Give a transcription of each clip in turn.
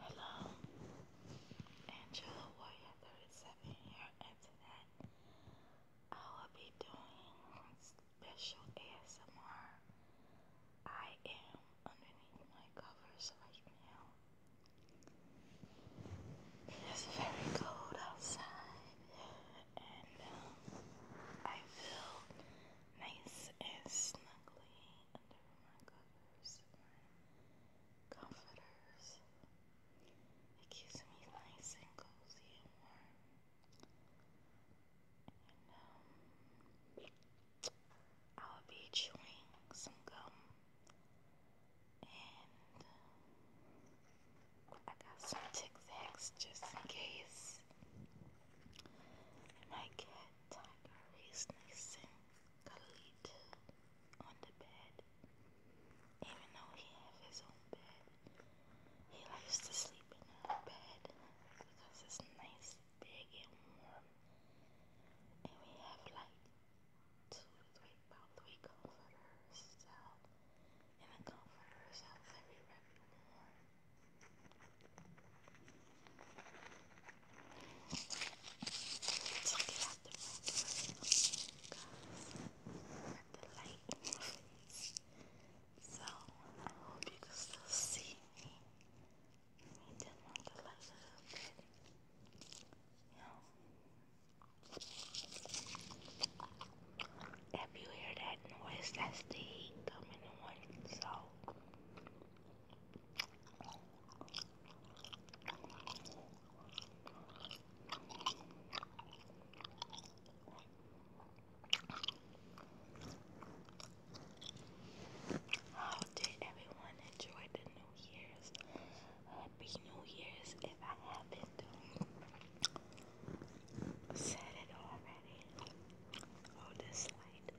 Hello, Angela Warrior 37 here, and I will be doing special ASMR. I am underneath my covers right now. It's very cold outside, and um, I feel nice and snuggly under my covers comforters. It keeps me nice and cozy um, I'll be chewing some gum. And I got some Tic Tacs just in case. my cat Tiger is sneezing Khalid on the bed. Even though he has his own bed, he likes to sleep in our bed because it's nice, big, and warm. And we have like two three, about three comforters out, and the comforters are very, very warm. So get out the regular the light in my face. So I hope you can still see me. I did light a little bit. You If you hear that noise, that's the heat coming on. So how oh, did everyone enjoy the New Year's? Happy New Year's if I haven't said it already. Oh, this light.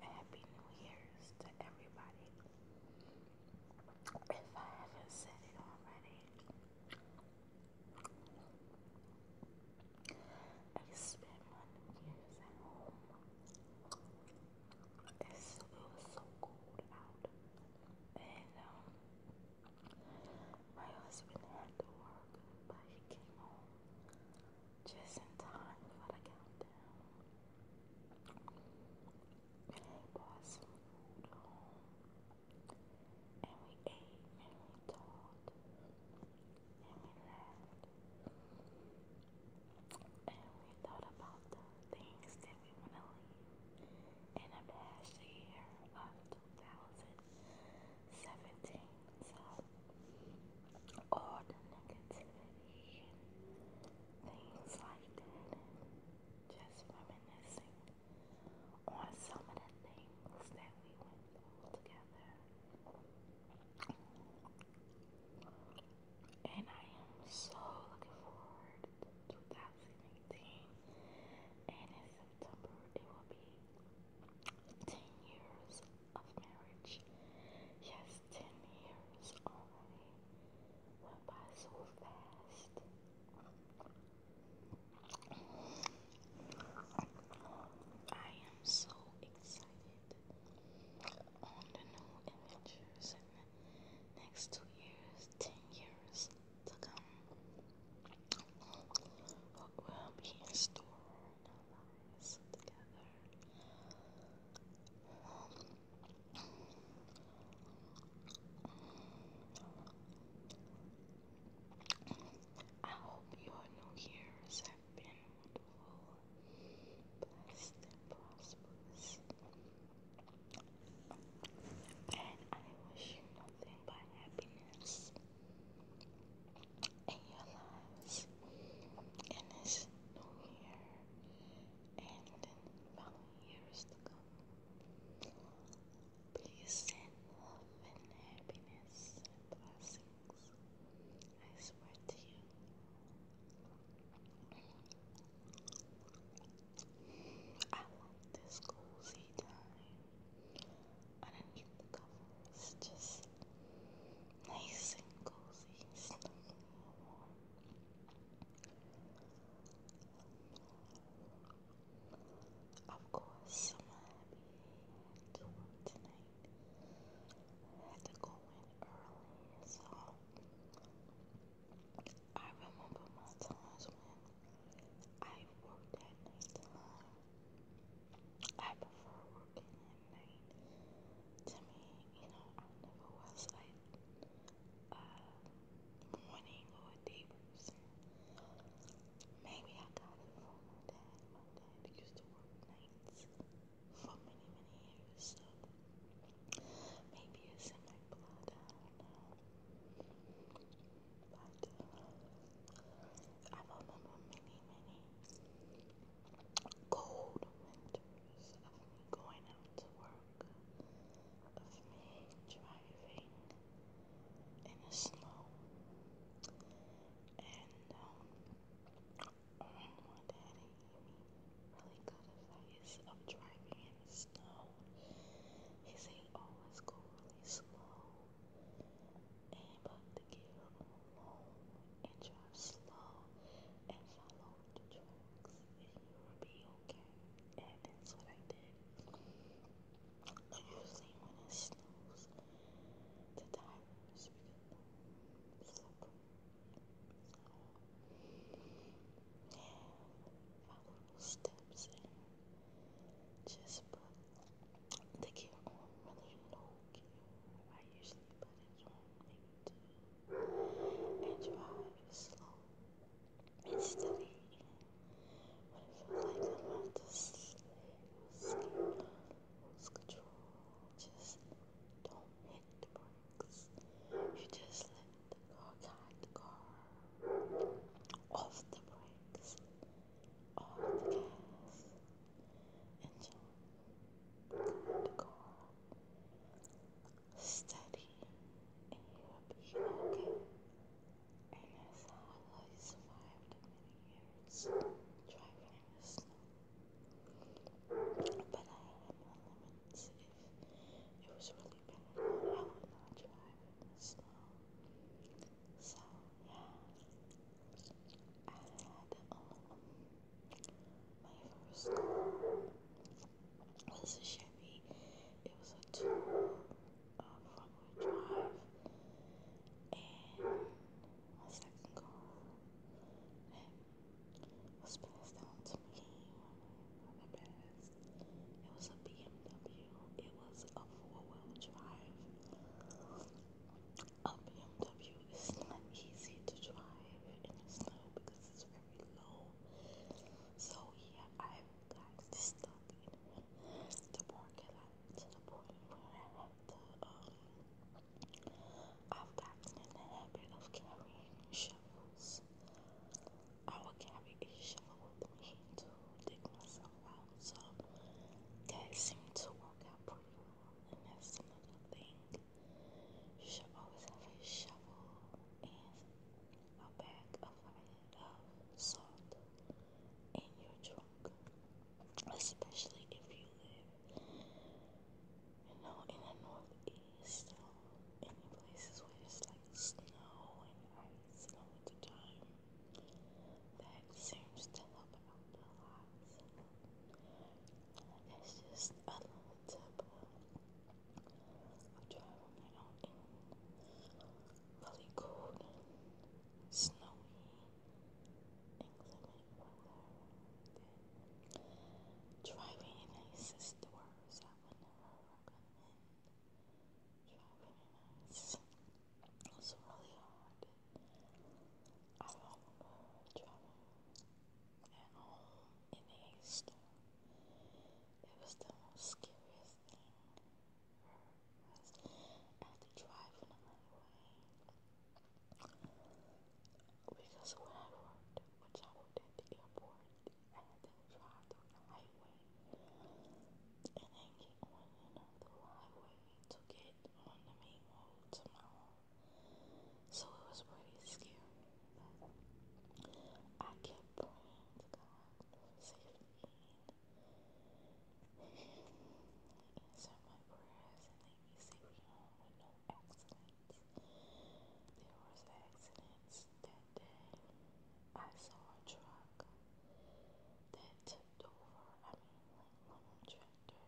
Happy New Year's to everybody. If I haven't said it already, I spent New Year's at home. it was so cold out, and um, my husband had to work, but he came home just in time for the countdown. And he brought home, and we ate, and we talked, and we laughed, and we thought about the things that we want to leave in the past year left. 2017. So, all the negativity things like that, just reminiscing on some of the things that we went through together. And I am so looking forward to 2018, and it's September, it will be 10 years of marriage. Yes, 10 years only. went by so fast. I am so excited on the new adventures next two years, 10 years to come. I hope your New Year's have been wonderful, blessed, and prosperous. And I wish you nothing but happiness in your lives in this new year and in following years to come. Please send love and happiness and blessings. I swear to you. I want this cozy time underneath the cover is just nice and cozy, Of course, I'm happy to I had to go in early, so I remember my times when I worked at night I prefer working at night. To me, you know, I never was like a uh, morning or a day person. Maybe I got it from my dad. My dad used to work nights for many, many years. So maybe it's in my blood. I don't know. But I've opened many, many cold winters of me going out to work, of me driving in the snow. And my daddy really good advice of driving in snow. He said always oh, go really slow Aim up the gear long and drive slow and follow the tracks and you'll be okay. And that's what I did. Usually when it snows, the tires become slippery follow the steps and just put the gear on really low gear. I usually put it on maybe two and drive slow steady. But it felt like I'm about to sleep, lose control. Just don't hit the brakes. You just let the car the car off the brakes all the cats and John and Study and you'll be okay. And that's how I like survived many years driving in the snow. But I had no if it was really I would not drive in the So yeah, I had my first car was a Chevy. It was a two wheel drive, and my second car was passed down to me. I passed it was a BMW. It was a four-wheel drive. A BMW is not easy to drive in the snow because it's very low. So yeah, I got stuck in the parking lot to the point where I had to um I've gotten in the habit of carrying shovels. I will carry a shovel with me to dig myself out. So that seemed to work out pretty well. And that's another thing. You should always have a shovel and a bag of salt in your trunk. Especially if you live, you know, in the northeast or any places where it's like snow and ice and all the time. That seems to help out a lot. It's just a little tip of traveling out really cold snowy inclement weather. Driving in ice is the worst. I would never recommend. You know, really was really hard. I remember driving at home in a storm. It was the most scariest thing ever. I had to drive in Because when I worked, which I worked at the airport, then drive down the highway and then get on another highway to get on the main road to my home. So it was pretty scary, I kept praying to God for safety and answer my prayers and leave me safely home with no accidents. There was accidents because that day I saw a truck that tipped over. I mean, like one tractor,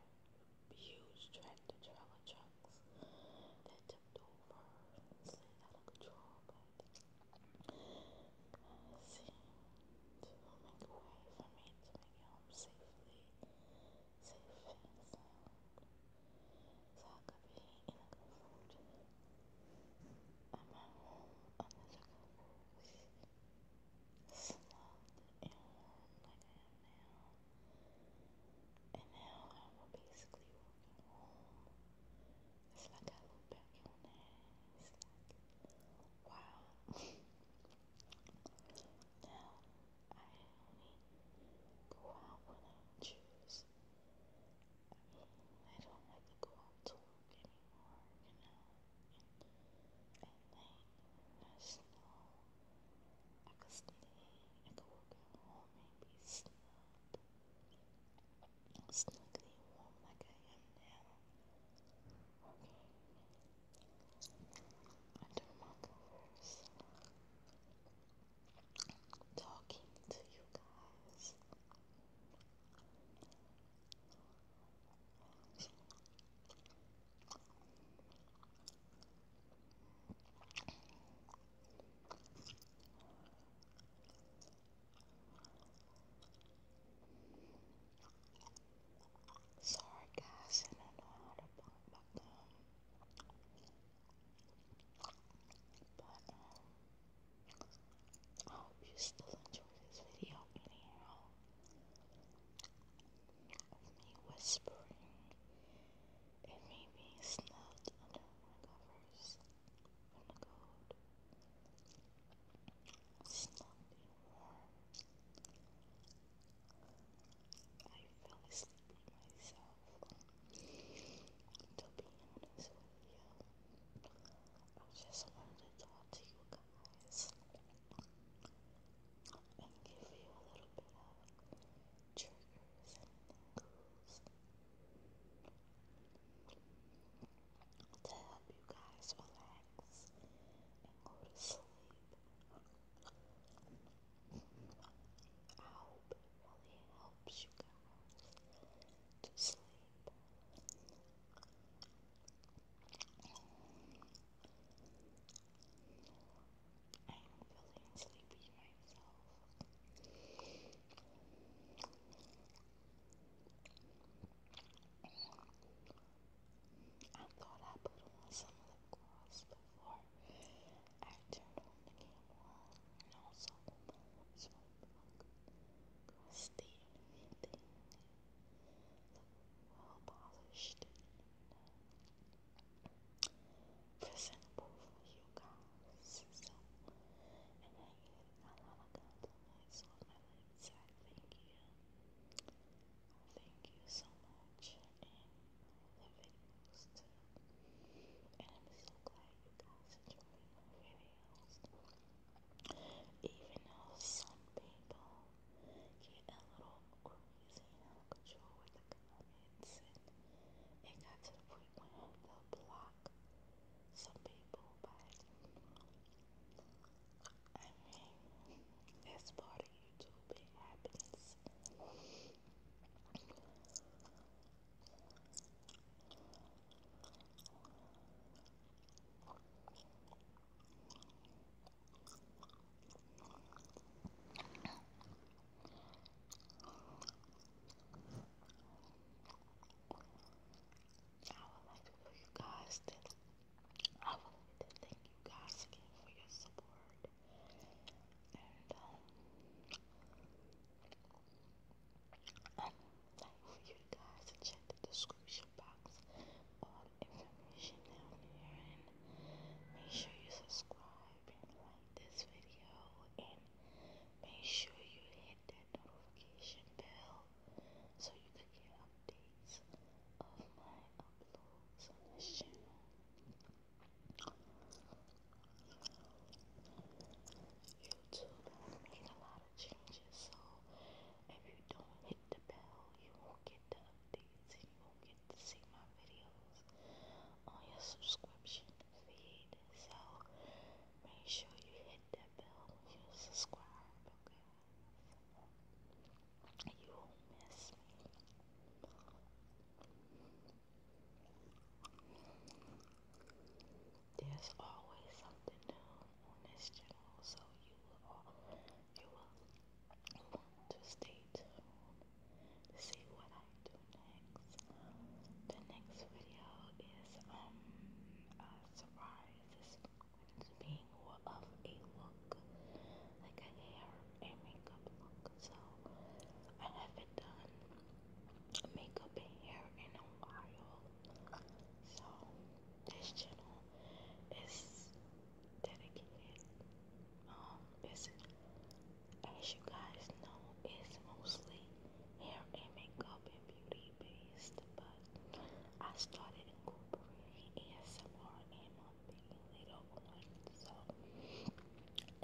huge tractor trailer trucks that tipped over and slid out of control, but uh, seemed to make a way for me to make it home safely, safe and sound. Zakabi in a comfort. And my home on the Zakabi slumped and warm like I now. And now I will basically walking home. It's like I look back on that. It's like, wow. now I only go out when I choose. I don't like to go out to work anymore, you know, and at night, I I could stay, I could work home and be snug, snugly warm like I am now, okay, under my covers, talking to you guys. Sorry guys, I don't know how to pop my but, um, I hope you still enjoy this video anyhow. Of me whispering and me being under my covers in the cold. Snubbed and I feel sleepy myself. To be honest with you, I just wanted to talk to you guys and give you a little bit of triggers and tingles to help you guys relax and go to sleep. Alb only helps you go to sleep. I'm feeling sleepy myself. I thought I put on some lip gloss before I turned on the camera and also so could steal anything. well polished presentable for you guys. So and I get a lot of compliments on my lips. thank you. thank you so much the videos And I'm so glad you guys enjoy my videos. Even though some people get a little crazy and out of control with the comments and to the point where block some people but I mean that's part of YouTube it happens would like for you guys I would like to thank you guys again for your support. And um, for you guys check the description box all information down there make sure you subscribe and like this video and make sure you hit that notification bell so you can get updates of my uploads on this channel. YouTube made a lot of changes, so if you don't hit the bell, you won't get the updates and you won't get to see my videos on your subscription feed. So make sure you hit that bell when subscribe, okay? You won't miss me. There's always something new on this channel, so you will all, you will want to stay tuned to see what I do next. The next video is um a surprise. It's going to be more of a look, like a hair and makeup look. So I haven't done makeup and hair in a while. So this channel is dedicated. Um as you guys know it's mostly hair and makeup and beauty based but I started incorporating ASMR in little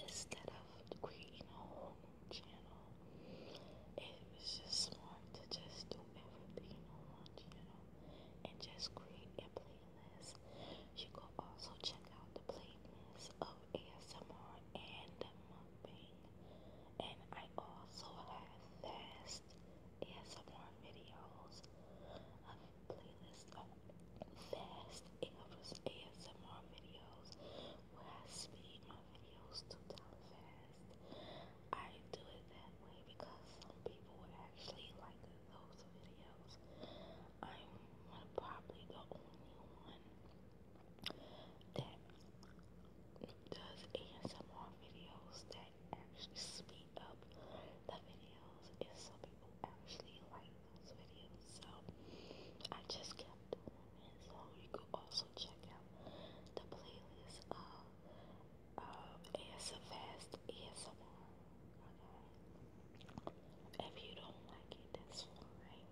instead of creating a whole channel, it was just smart to just do everything on one channel and just create a playlist. You can also check out the playlist of ASMR and mukbang, and I also have fast ASMR videos. Of playlist of fast ASMR videos where I speed my videos to down fast. I do it that way because some people actually like those videos. I'm probably the only one that does ASMR videos that actually speed up the videos, and some people actually like those videos. So I just kept it them. And so you could also check out the playlist of um, ASMR Fast ASMR. Okay. If you don't like it, that's fine.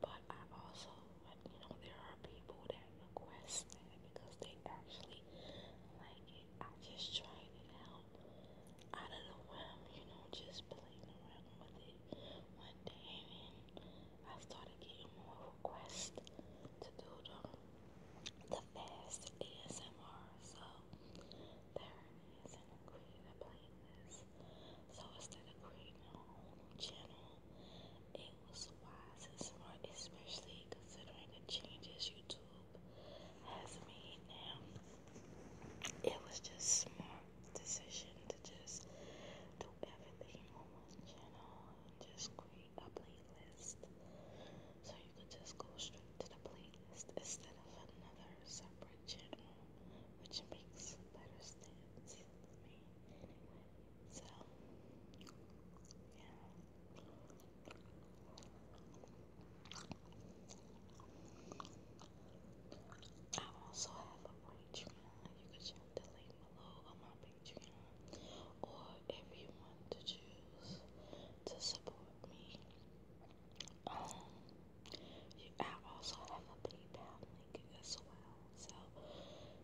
But I also, you know, there are people that request that because they actually like it. I just tried to help out of the realm, you know, just playing around with it one day, and I started getting more requests to do the, the fast ASMR. So there it is, a playlist. So instead of creating a whole new channel, it was wise and smart, especially considering the changes YouTube has made now. It was just smart decision to just do everything on one channel and just create a playlist. So you could just go straight to the playlist instead of another separate channel, which makes better sense to me So yeah. I also have a Patreon. You can check the link below on my uh, Patreon. Or if you want to choose to support me, um, I also have a PayPal link as well. So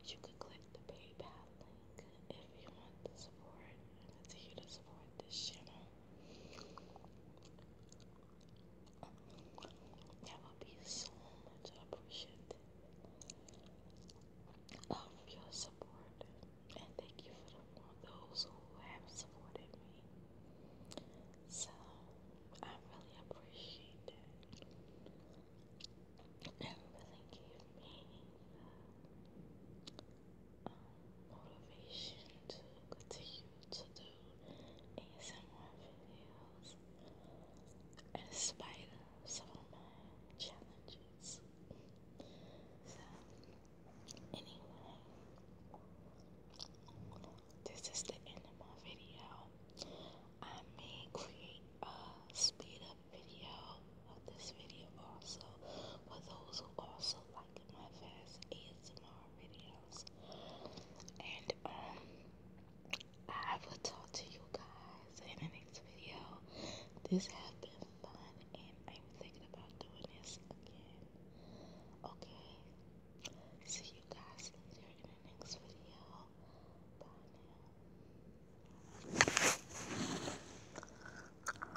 you could click the PayPal link if you want to support and continue to support this channel. That would be so much appreciated of your support, and thank you for, the, for those who have supported me. So I really appreciate that. It really gave me uh, motivation to continue to do ASMR videos in some of my challenges. So, anyway, this is the end of my video. I may create a speed up video of this video also for those who also like my fast ASMR videos. And um I will talk to you guys in the next video. This has been fun and I'm thinking about doing this again. Okay. See you guys later in the next video. Bye now.